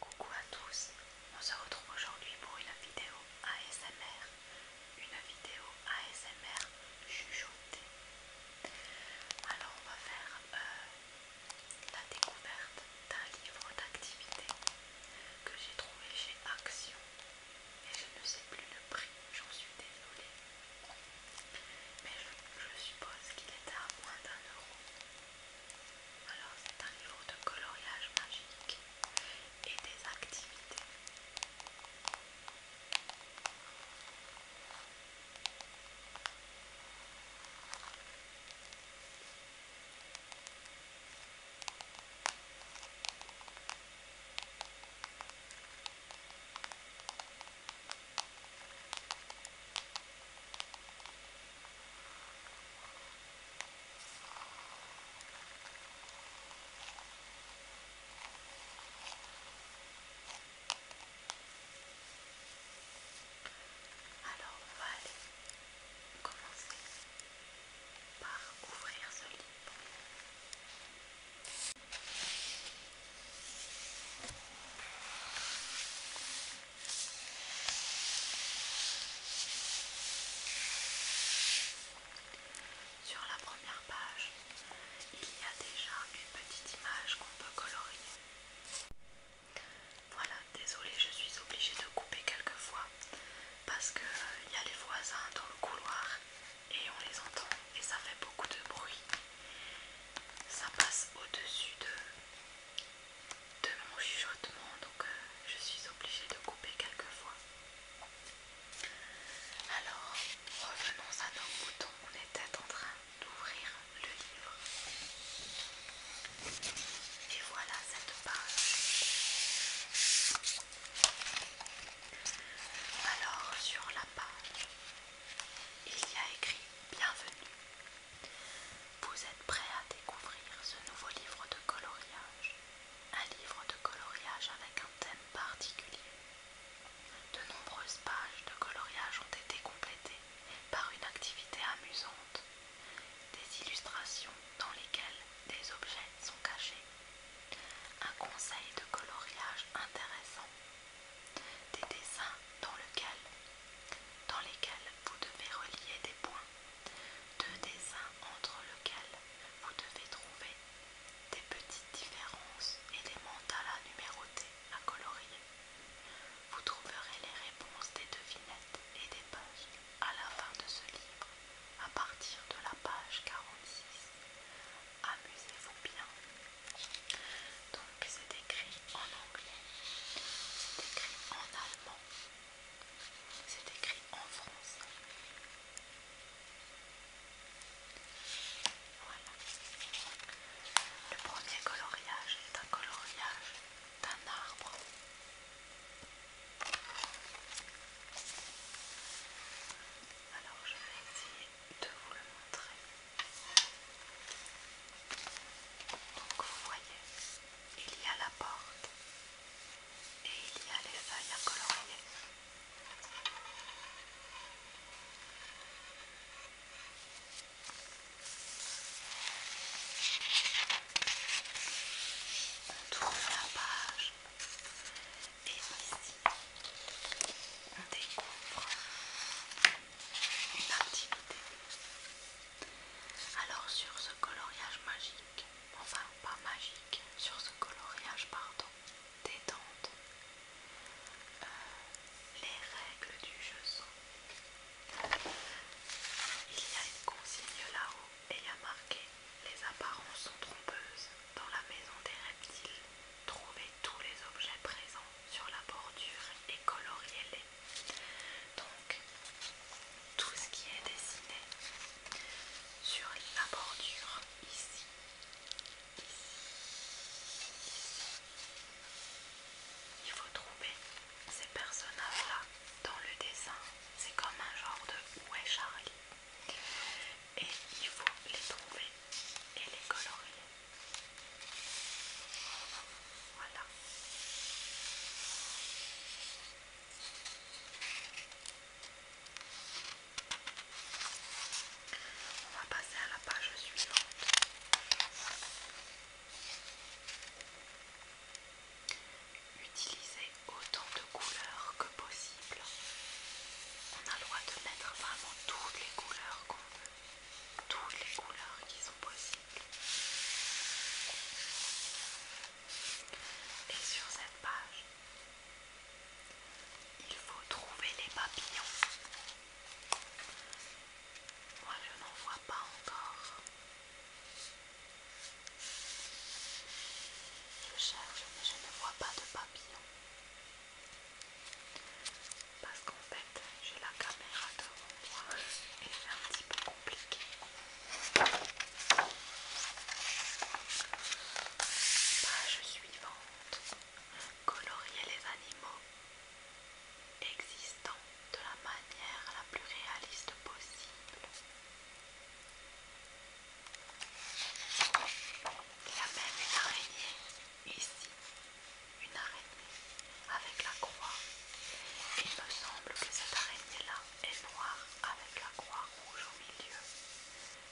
Coucou à tous, on se retrouve aujourd'hui pour une vidéo ASMR, une vidéo ASMR chuchotée. Alors on va faire euh, la découverte d'un livre d'activité que j'ai trouvé chez Action et je ne sais plus le prix, j'en suis désolée. Mais je, suppose qu'il est à moins d'un euro. Alors c'est un niveau de coloriage magique et des activités. Alors va commencer par ouvrir ce livre. Sur la première page, il y a déjà une petite image qu'on peut colorier. Voilà, désolée, je suis obligée de couper quelques fois parce qu'il euh, y a les voisins dans le couloir et on les entend et ça fait beaucoup de bruit. Ça passe au-dessus de de mon chuchotement, donc euh, je suis obligée de couper fois Alors, revenons à nos boutons, on était en train d'ouvrir le livre. Et voilà cette page. Alors, sur la page, il y a écrit Bienvenue vous êtes prêt à découvrir ce nouveau livre de coloriage Un livre de coloriage avec un thème particulier. De nombreuses pages de coloriage ont été complétées par une activité amusante, des illustrations dans lesquelles des objets sont cachés, un conseil de coloriage intéressant, des dessins dans lesquels dans lesquels vous devez relier des points, deux dessins entre lesquels vous devez trouver des petites différences et des à numéroter, à colorier. Vous trouverez les réponses des devinettes et des pages à la fin de ce livre, à partir de la page 46. Amusez-vous bien. Donc c'est écrit en anglais, c'est écrit en allemand, c'est écrit en français. Voilà. Le premier coloriage est un coloriage d'un arbre. Alors je vais essayer de vous le montrer. Donc vous voyez, il y a la porte et il y a les feuilles à colorier. On tourne la page et ici on découvre une activité alors sur ce coloriage magique, enfin pas magique, sur ce coloriage pardon, détente, euh, les règles du jeu sont. Il y a une consigne là-haut et il y a marqué les apparences sont trompeuses. Dans la maison des reptiles, trouvez tous les objets présents sur la bordure et coloriez-les. Donc, tout ce qui est dessiné sur la bordure ici, ici, ici, il faut trouver ces personnages-là dans le dessin. C'est comme un genre de Où Charlie Et il faut les trouver et les colorier. Voilà. On va passer à la page suivante. Utilisez autant de couleurs que possible. On a le droit de mettre vraiment toutes les couleurs qu'on veut. Toutes les couleurs qui sont possibles. Et sur cette page, il faut trouver les papillons. Moi, je n'en vois pas encore. Je cherche, mais je ne vois pas de papillons parce qu'en fait j'ai la caméra devant moi et c'est un petit peu compliqué. Page bah, suivante. Colorier les animaux existants de la manière la plus réaliste possible. La même est araignée ici une araignée avec la croix. Il me semble que cette araignée-là est noire avec la croix rouge au milieu.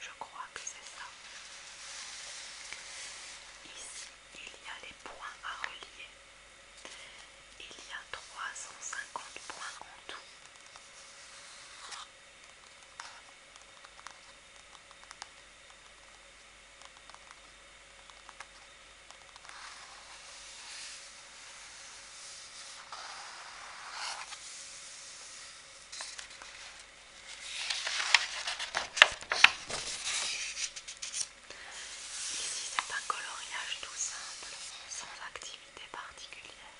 Je crois que c'est ça. Ici, il y a les points à relier. Il y a 350 points en tout. Ici c'est un coloriage tout simple, sans activité particulière.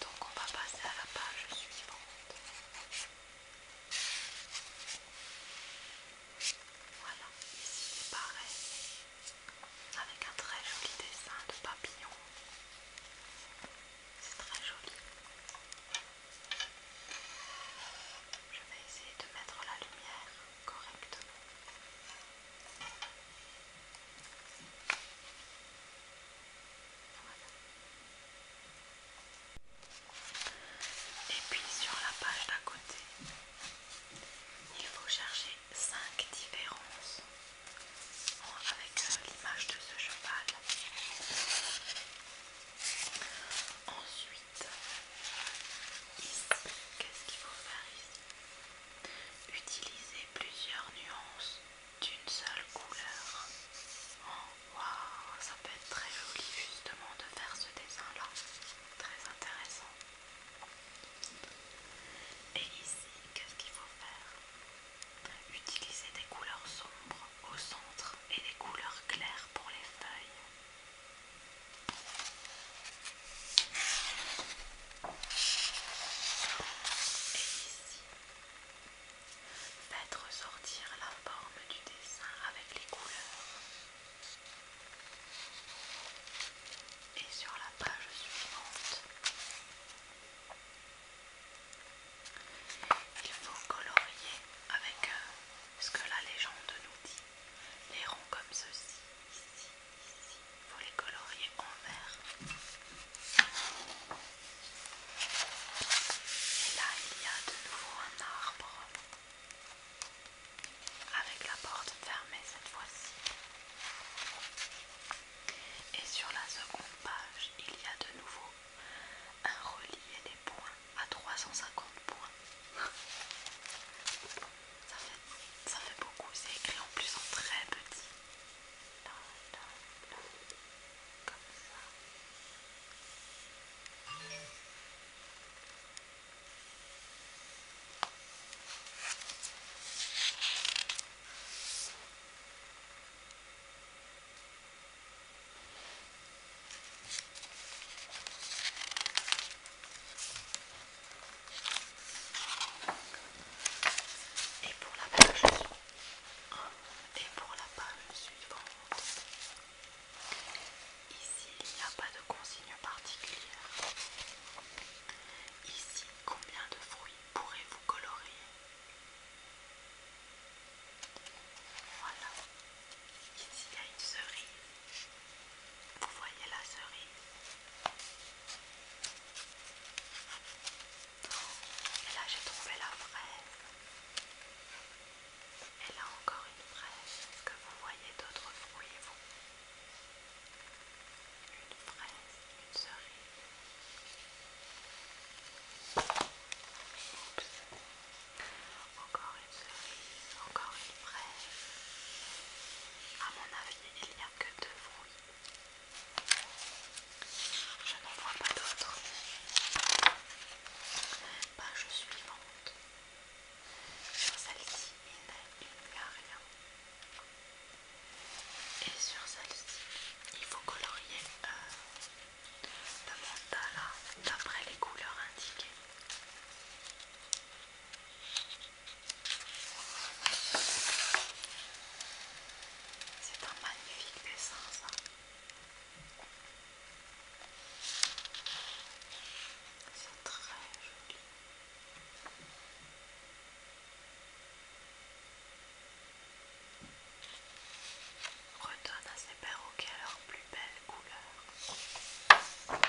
Donc on va passer à la page suivante. Voilà, ici pareil, avec un très joli dessin de papillon. C'est très joli. Je vais essayer de mettre la lumière correctement. Voilà. Et puis sur la page d'à côté, il faut chercher 5 différences avec euh, l'image de ce cheval. Ensuite, qu'est-ce qu'il faut faire ici Utiliser plusieurs nuances d'une seule couleur Waouh, ça peut être très joli justement de faire ce dessin-là. Très intéressant. Et ici, qu'est-ce qu'il faut faire Utiliser des couleurs sombres au centre et des couleurs claires pour les feuilles. Et ici, Faites ressortir la forme du dessin avec les couleurs. Et sur la page suivante, il faut colorier avec euh, ce que la légende nous dit. Les ronds comme ceci, ici, ici, il faut les colorier en vert. Et là, il y a de nouveau un arbre avec la porte fermée cette fois-ci. Et sur la seconde page, il y a de nouveau un relié des points à 350 points. ça, fait, beaucoup, c'est écrit en plus en très petit. Et pour la page, et pour la page suivante, Ici, il n'y a pas de consigne particulière. Ici, combien de fruits pourrez-vous colorier Voilà. Ici, il y a une cerise. Vous voyez la cerise Et là, j'ai trouvé la fraise. Et là encore une fraise, Est-ce que vous voyez d'autres fruits, vous Une fraise, une cerise. Oups. Encore une cerise, encore une fraise. À mon avis, il n'y a que deux fruits. Je n'en vois pas d'autres. Page suivante. Sur celle-ci, il n'y a rien. Et sur celle-ci, il faut colorier euh, le d'après les couleurs indiquées. C'est un magnifique dessin, c'est très joli. Redonne à ces perroquets leurs plus belles couleurs.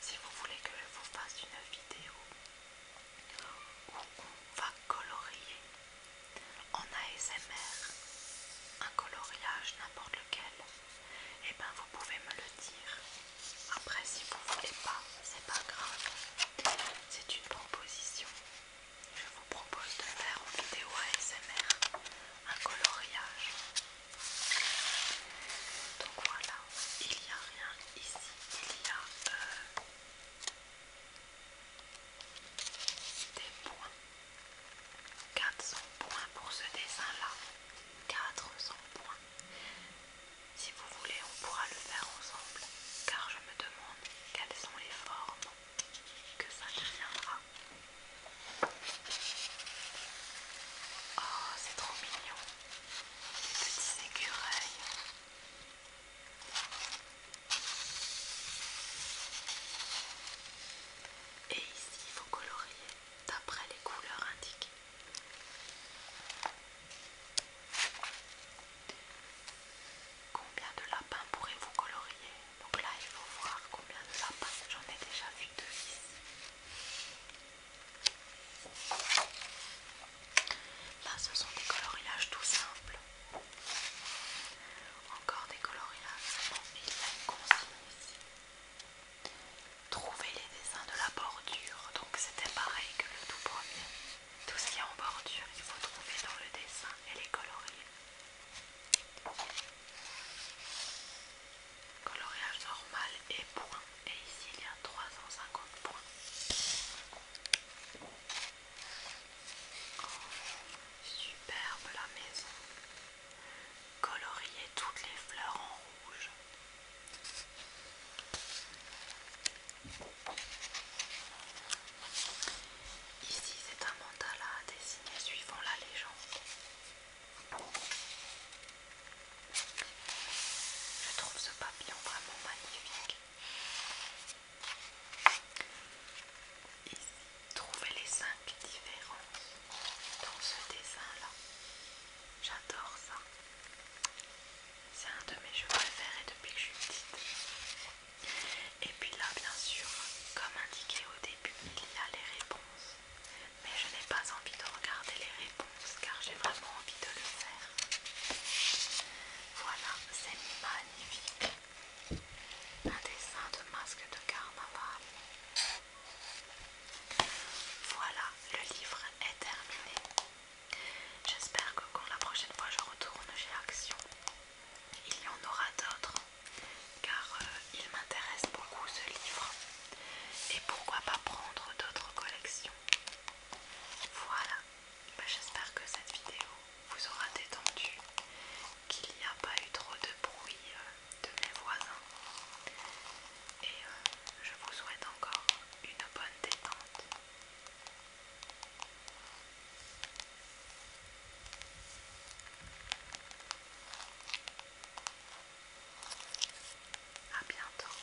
Si vous voulez que je vous fasse une vidéo où on va colorier en ASMR un coloriage n'importe lequel et eh ben vous pouvez me le dire après si vous voulez pas c'est pas grave c'est une proposition je vous propose de faire en vidéo ASMR un coloriage donc voilà il n'y a rien ici il y a euh, des points. 400 points pour ce dessin-là. 400 points. Si vous voulez, on pourra le faire ensemble, car je me demande quelles sont les formes que ça deviendra. Oh, c'est trop mignon. Des petits écureuils. Et ici, vous coloriez d'après les couleurs indiquées. Combien de lapins pourrez-vous colorier Donc là, il faut voir combien de lapins. J'en ai déjà vu deux ici. Là, ce sont des colorillages tout simples. Encore des coloriages, Bon, il a une consigne ici. Trouver les dessins de la bordure. Donc, c'était pareil que le tout premier. Tout ce qui est en bordure, il faut trouver dans le dessin et les colorier. Coloriage normal et point. Et ici, il y a 350 points. Superbe la maison. Colorier toutes les fleurs en rouge. Ici, c'est un mandala dessiné suivant la légende. Je trouve ce papillon vraiment magnifique. Ici, trouver les cinq différences dans ce dessin-là. J'adore ça. C'est un de mes jeux préférés depuis que je suis petite. Et puis là, bien sûr, comme indiqué au début, il y a les réponses. Mais je n'ai pas envie de regarder les réponses car j'ai vraiment envie de le faire. Voilà, c'est magnifique. Un dessin de masque de carnaval. Voilà, le livre est terminé. J'espère que quand la prochaine fois je retourne chez Action, il y en aura d'autres, car euh, il m'intéresse beaucoup ce livre. Et pourquoi pas prendre d'autres collections Voilà. Bah, j'espère que cette vidéo vous aura détendu, qu'il n'y a pas eu trop de bruit euh, de mes voisins. Et euh, je vous souhaite encore une bonne détente. À bientôt.